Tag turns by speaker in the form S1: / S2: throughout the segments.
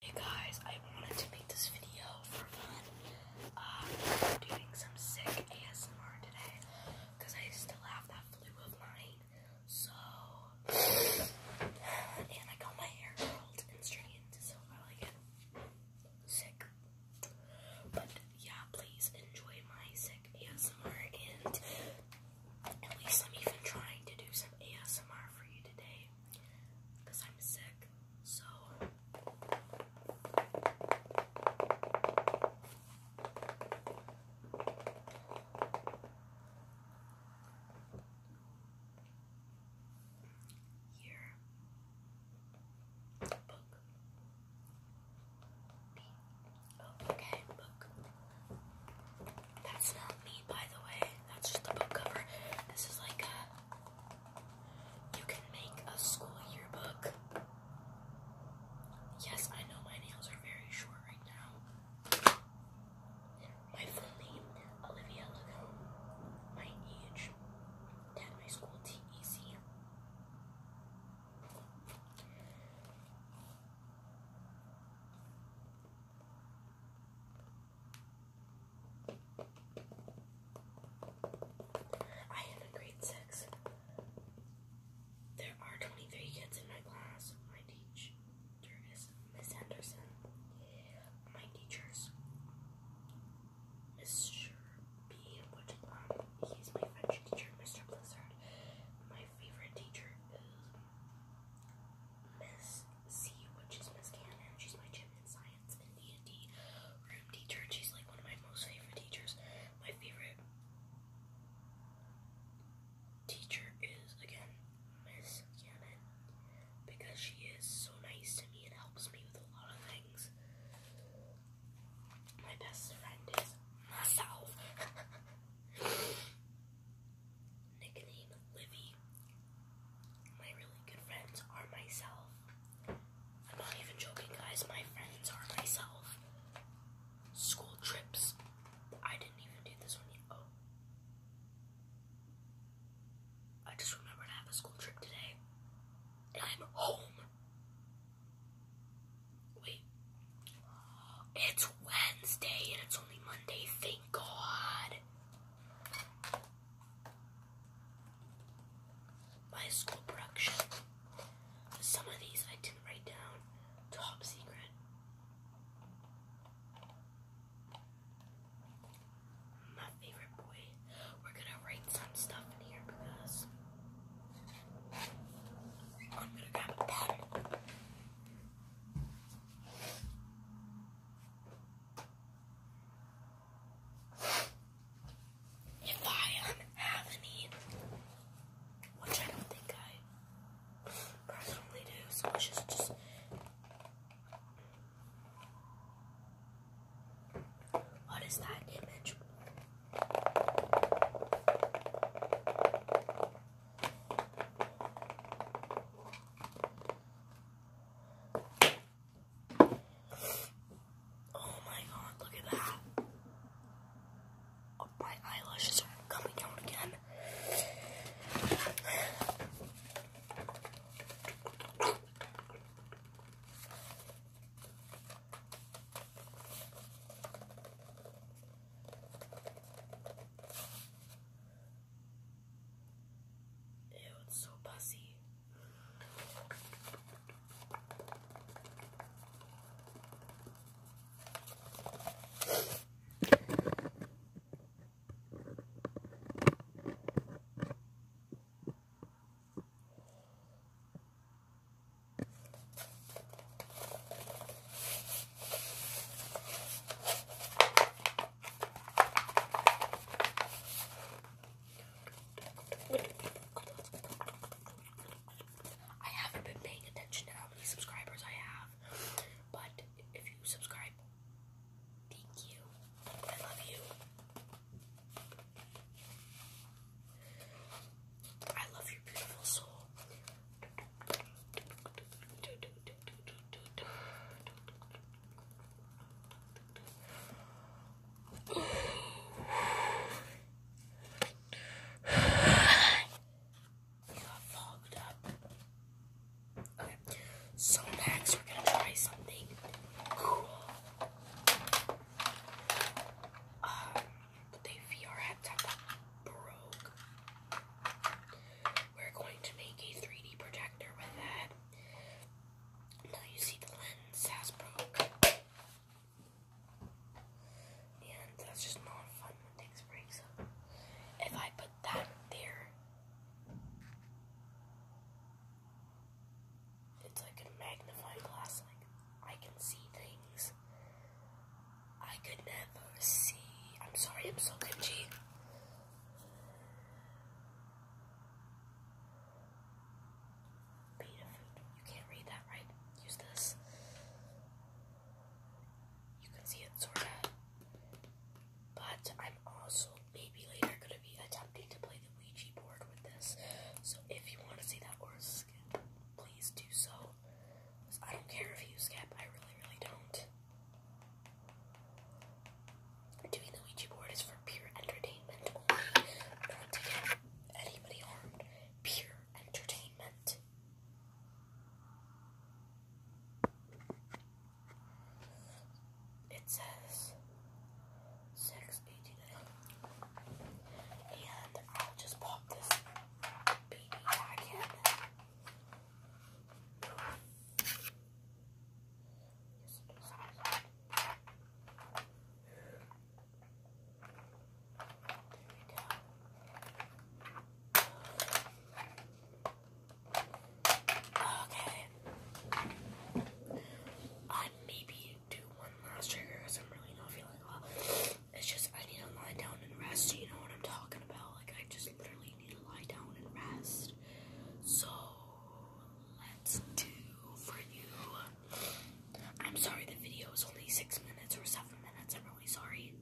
S1: Hey guys, I wanted to make this video for fun. am um, doing some sick ASMR today because I still have that flu of mine. So, and I got my hair curled and straightened, so I like Sick. But yeah, please enjoy my sick ASMR and at least I'm even trying to do some ASMR for you today because I'm sick. So here book B. Oh, okay, book. That's not me by the way. That's just the book cover. This is like You can make a school yearbook. Yes, I know my nails are very short right now. My full name, Olivia Lago. My age, 10. my school, TEC. I am in grade six. There are 23 kids in my class. My teacher is Miss Henderson. My teachers, Mr. B. Um, he's my French teacher, Mr. Blizzard. My favorite teacher is Miss C, which is Miss Cannon. She's my gym in science and D&D room teacher. she's like one of my most favorite teachers. My favorite teacher is, again, Miss Cannon. Because she is so nice to me and helps me with a lot of things. My best friend is myself. nickname Livy. My really good friends are myself. I'm not even joking, guys. My friends are myself. School trips. I didn't even do this one yet. Oh. I just remembered I have a school trip today. And I'm home. Wait. It's Wednesday and it's only Monday. Thank God by school production. Some of these I didn't write down. Top secret. My favorite boy. We're gonna write some stuff in here because I'm gonna grab a if I um, have any, which I don't think I personally do, so let's just, just what is that image? Oh my god, look at that. Oh, my eyelashes are coming out again. Ew, it's so bussy. I haven't been paying attention to how many subscribers I have, but if you subscribe, thank you. I love you. I love your beautiful soul got so next we're gonna try something cool. Um, the VR headset broke. We're going to make a 3D projector with that. Now you see the lens has broke. And that's just not fun when things break. So if I put that there, it's like a magnifying glass. Like I can see things I could never see. I'm sorry, I'm so cringy. Beta food. You can't read that, right? Use this. You can see it, sorta. But I'm also maybe later gonna be attempting to play the Ouija board with this. So if you want to see that or skip, please do so. I don't care if you skip. I really, really don't. Doing the Ouija board is for pure entertainment Not to get anybody harmed. Pure entertainment. It says six eighty nine, and I'll just pop this baby back in. Okay. I maybe do one last trigger because I'm really not feeling well. It's just I need to lie down and rest. You know what I'm talking about? Like I just literally need to lie down and rest. So let's do for you. I'm sorry the video is only six minutes or seven minutes. I'm really sorry.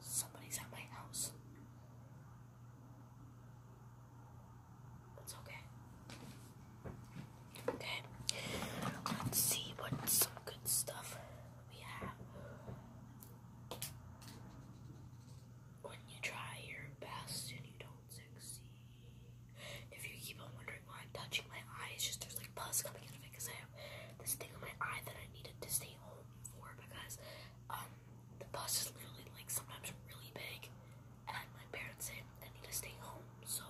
S1: Somebody's at my house. It's okay. Okay. Let's see what some good stuff we have. When you try your best and you don't succeed. If you keep on wondering why I'm touching my eye, just there's like pus coming out of it because I have this thing on my eye that I needed to stay home for because um, the bus is literally like sometimes really big and my parents said I need to stay home so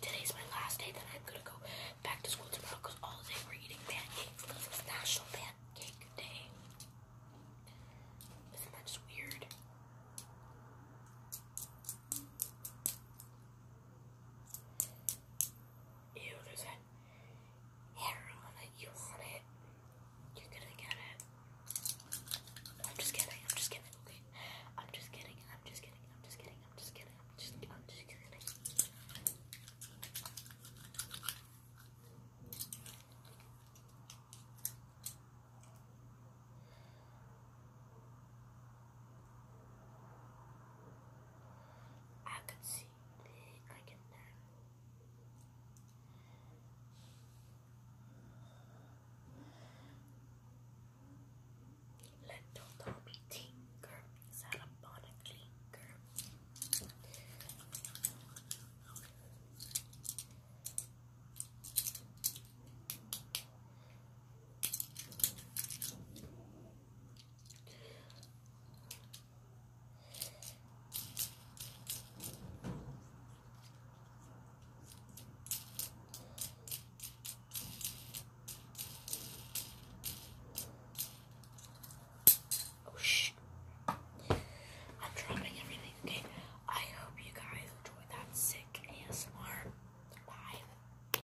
S1: today's my last day then I'm gonna go back to school tomorrow because all day we're eating pancakes because it's National Pancake Day. is just weird? Ew, there's a hair on it. You want it. You're gonna get it. I'm just kidding. I'm just kidding. Okay. I'm just kidding. I'm just kidding. I'm just kidding. I'm just kidding. I'm just. I'm just kidding. I can see. I can now. Let Toto tinker, set upon a Oh shh. I'm dropping everything. Okay. I hope you guys enjoyed that sick ASMR. Bye.